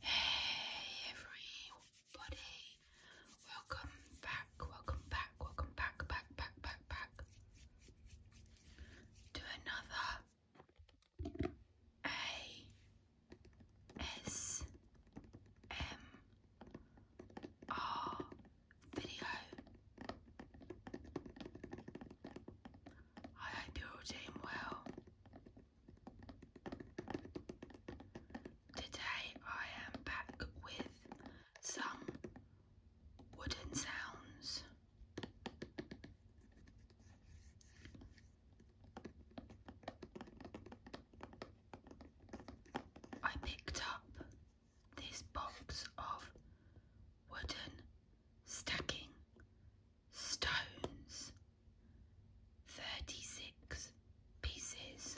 Hey everybody, welcome back, welcome back, welcome back, back, back, back, back to another ASMR video. I do damn well. Today I am back with some wooden sounds. I picked up this box of wooden stacking stones, 36 pieces.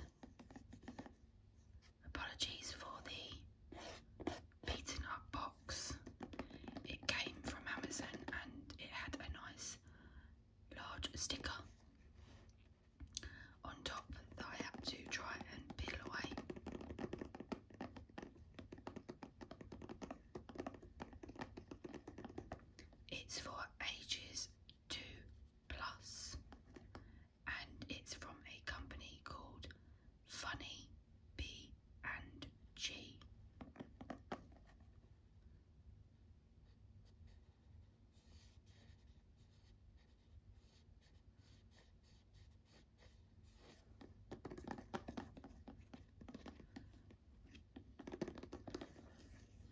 Apologies for the beaten up box. It came from Amazon and it had a nice large sticker on top that I have to try and peel away. It's for ages two plus, and it's from a company called Funny B and G.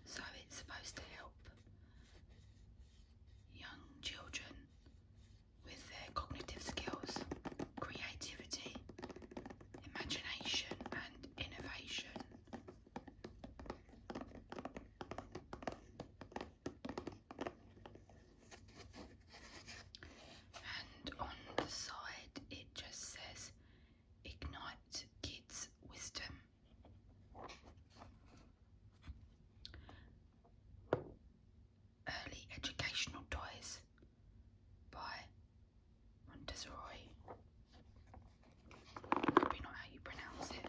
So it's supposed to help young children with their cognitive skills, creativity, imagination, and innovation. And on the side, it just says Ignite Kids Wisdom. Early Educational Toys by Montessori. Probably not how you pronounce it.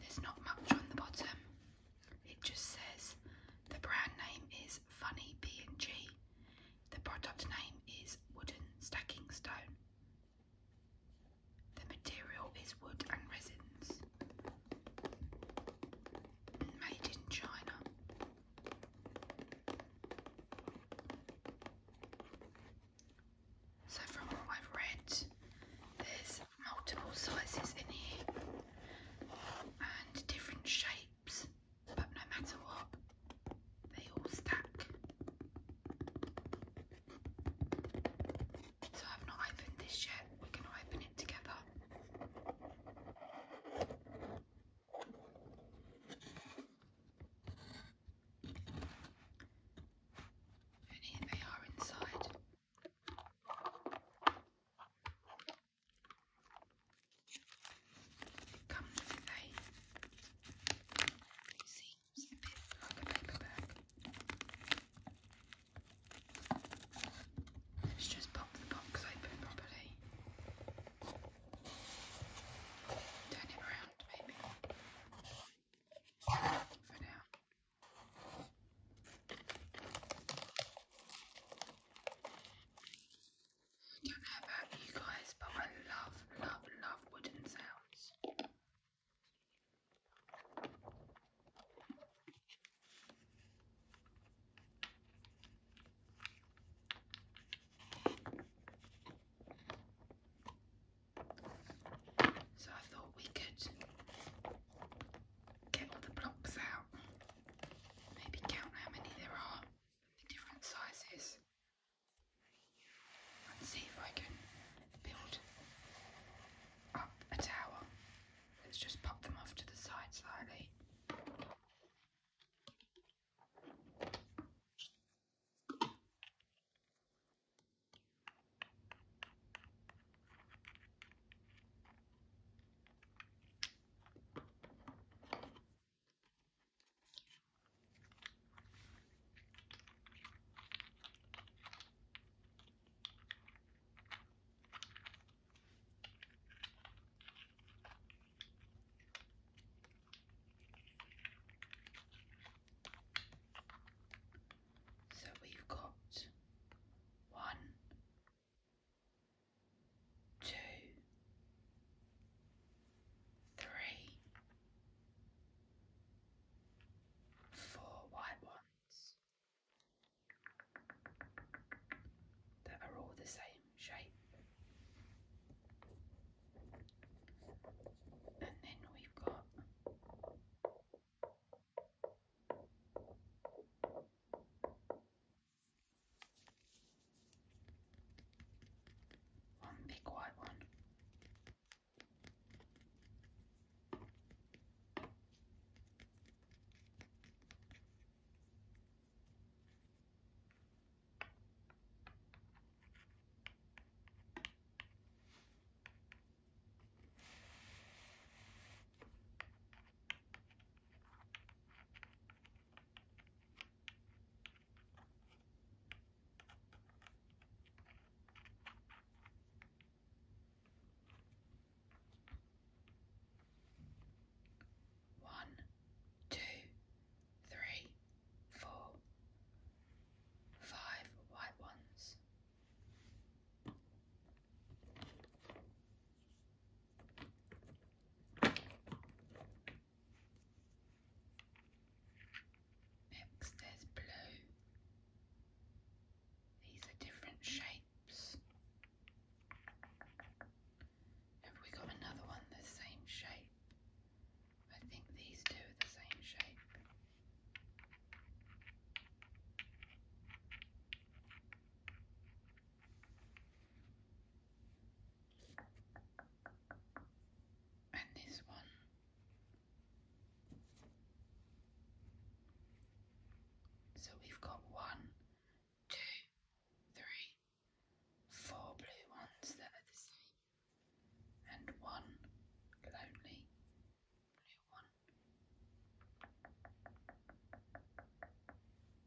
There's not much on the bottom. It just says the brand name is Funny P&G. The product name is Wooden Stacking Stone. The material is wood and resins. Made in China. So, from what I've read, there's multiple sizes in here and different shapes, but no matter what, they all stack. So I've not opened this yet, we're going to open it together. And here they are inside. Let's just pop the box open properly. Turn it around, maybe. For now. I don't know about you guys, but I love, love, love wooden sounds. So I thought we could get all the blocks out, maybe count how many there are, different sizes, and see if I can build up a tower. Let's just pop them off to the side slightly. So we've got one, two, three, four white ones that are all the same shape, and then we've got. One big white one. One, two, three, four, five white ones. Next, there's blue. These are different shapes. Have we got another one the same shape? I think these two are the same shape and this one. So we've got one, two, three, four blue ones that are the same, and one lonely blue one.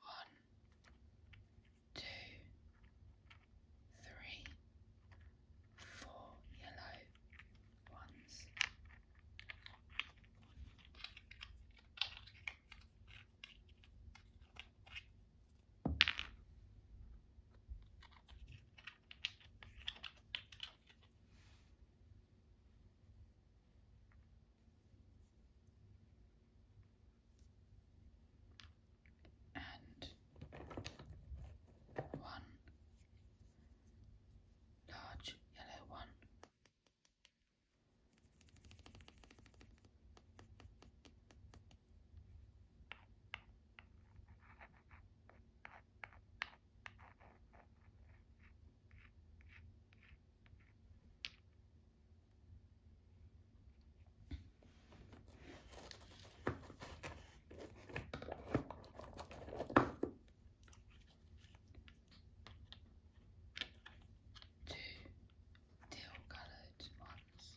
One, two, three, four yellow ones and one large yellow one. Two teal coloured ones.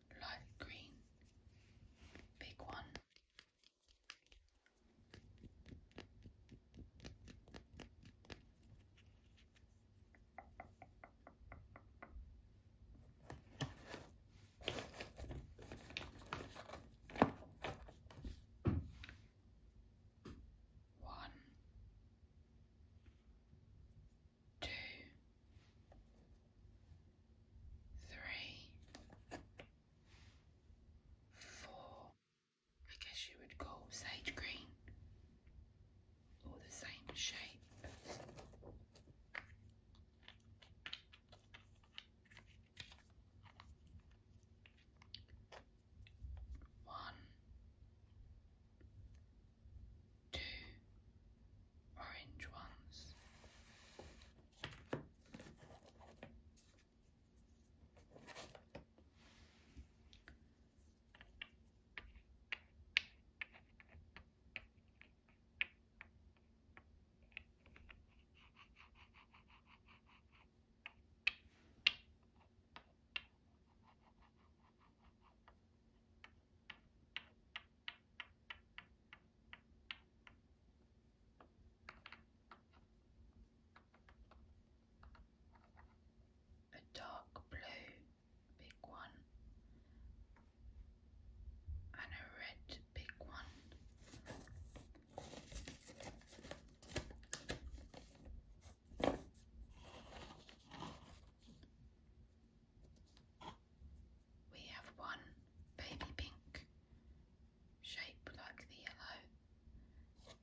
light green, big one. One, two, three, four. I guess you would call sage green or the same shape. One, two, orange ones a dark blue big one and a red big one we have one baby pink shaped like the yellow,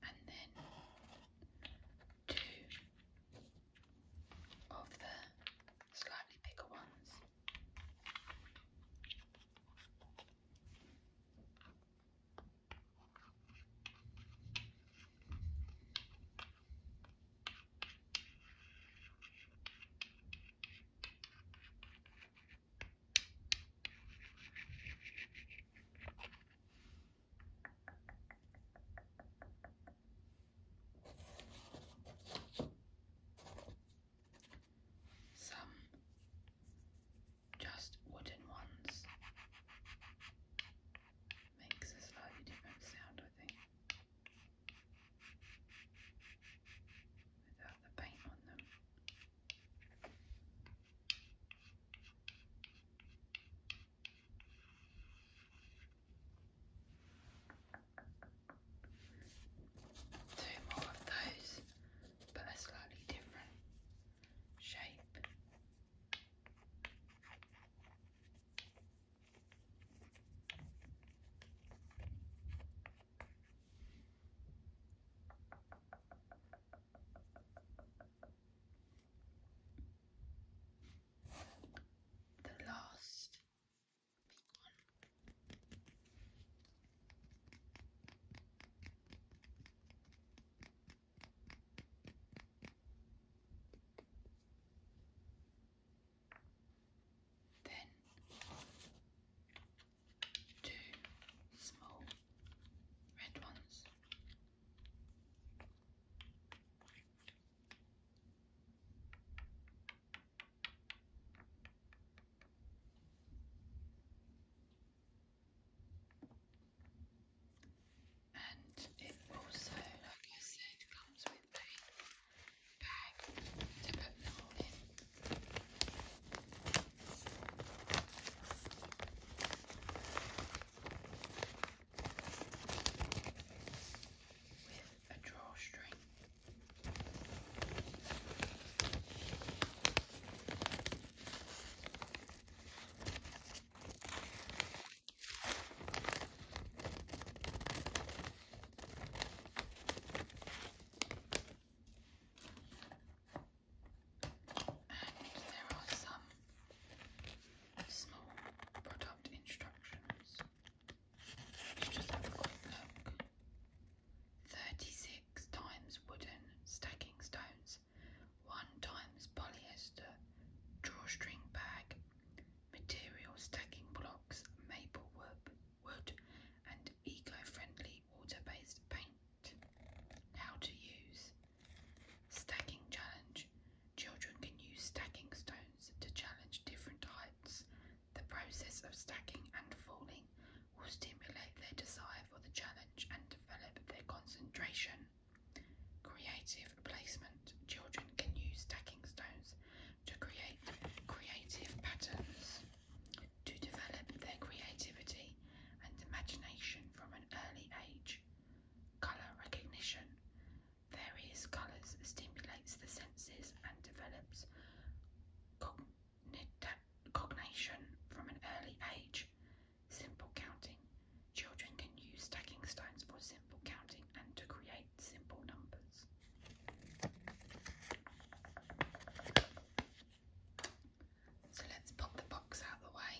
and then two of the slightly bigger ones. Some just wooden ones makes a slightly different sound, I think without the paint on them. Two more of those, but a slightly different shape. The last big one. Then two small red ones. And it also, like I said, comes with paint bag to put them all in. With a drawstring. And there are some small product instructions. Let's just have a quick look. 36 times wooden stacking stones, 1 times polyester, drawstring bag, material stacking blocks, maple wood, wood, and eco-friendly water-based paint. How to use. Stacking challenge. Children can use stacking stones to challenge different heights. The process of stacking and falling will stimulate their desire for the challenge and develop their concentration. Creative placement. Children can use stacking stones to create creative patterns to develop their creativity and imagination from an early age. Colour recognition. Various colours stimulates the senses and develops cognition from an early age. Simple counting. Children can use stacking stones for simple counting and to create simple numbers. So let's pop the box out of the way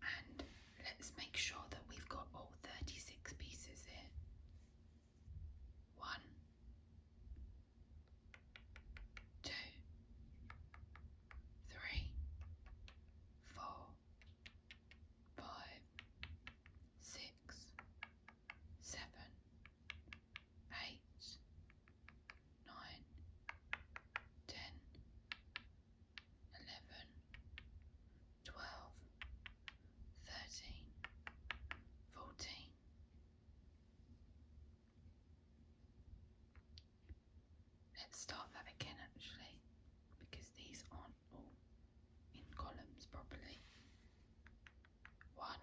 and let's make sure that we've got all 36 pieces here. One, two, three, four, five, six, seven, eight, nine, ten, eleven, twelve, thirteen, fourteen. Let's start that again actually because these aren't all in columns properly. One,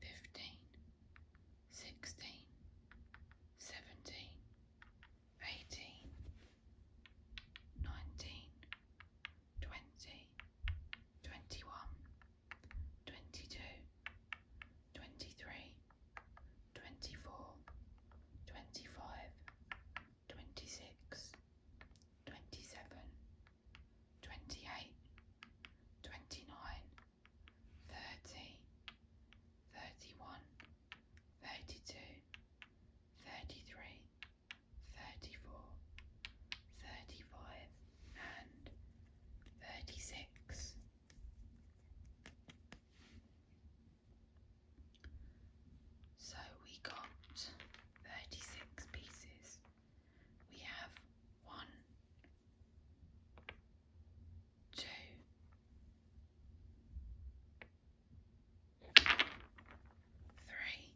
fifteen, sixteen, seventeen, eighteen, nineteen, twenty, twenty-one, twenty-two, twenty-three, twenty-four, twenty-five, twenty-six, twenty-seven, twenty-eight, twenty-nine thirty, thirty one, thirty two, thirty three, thirty four, thirty five, and thirty six. So we got 36 pieces. We have 1, two, three,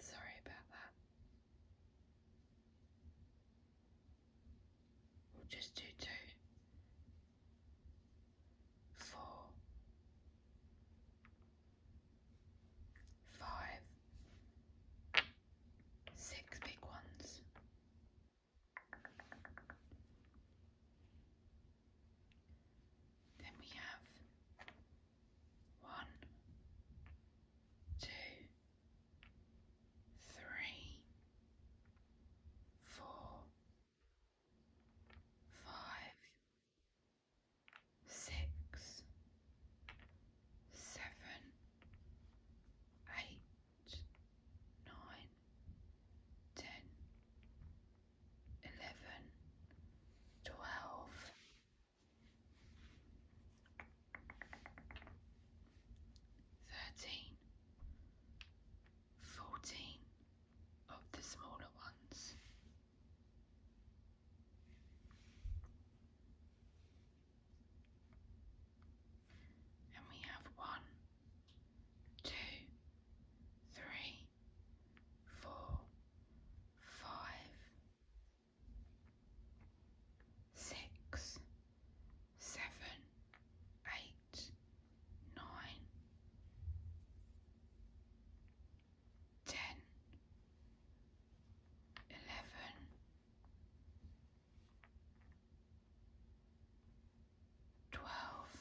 sorry about that. We'll just do two, four, five, six big ones, then we have one, two, three, four, five six, seven, eight, nine, ten, eleven, twelve, thirteen, fourteen of the smaller ones. And we have one, two, three, four, five, six, seven, eight, nine, ten, eleven, twelve,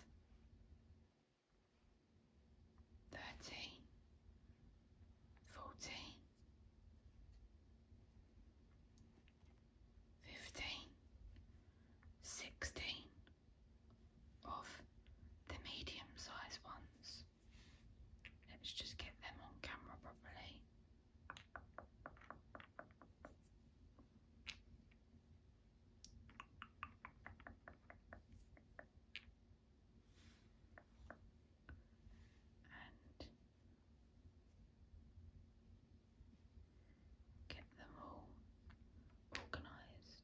thirteen, fourteen, fifteen, sixteen of the medium sized ones. Let's just get them on camera properly. And get them all organised.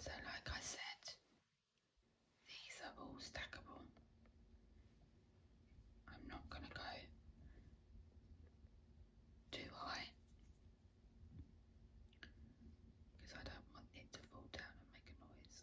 So, like I said, these are all stackable. I'm not going to go too high because I don't want it to fall down and make a noise.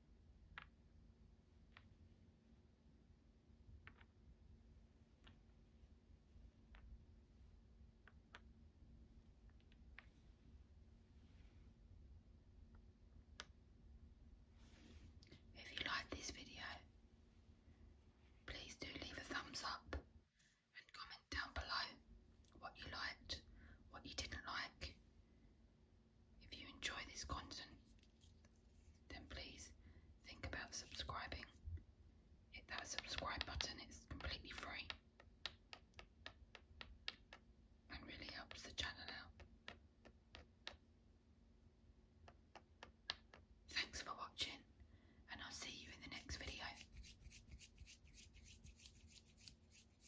If you like this video, please do leave a thumbs up and comment down below what you liked, what you didn't like, if you enjoy this content, then please think about subscribing. Hit that subscribe button, it's completely free and really helps the channel out. Thanks for watching, and I'll see you in the next video.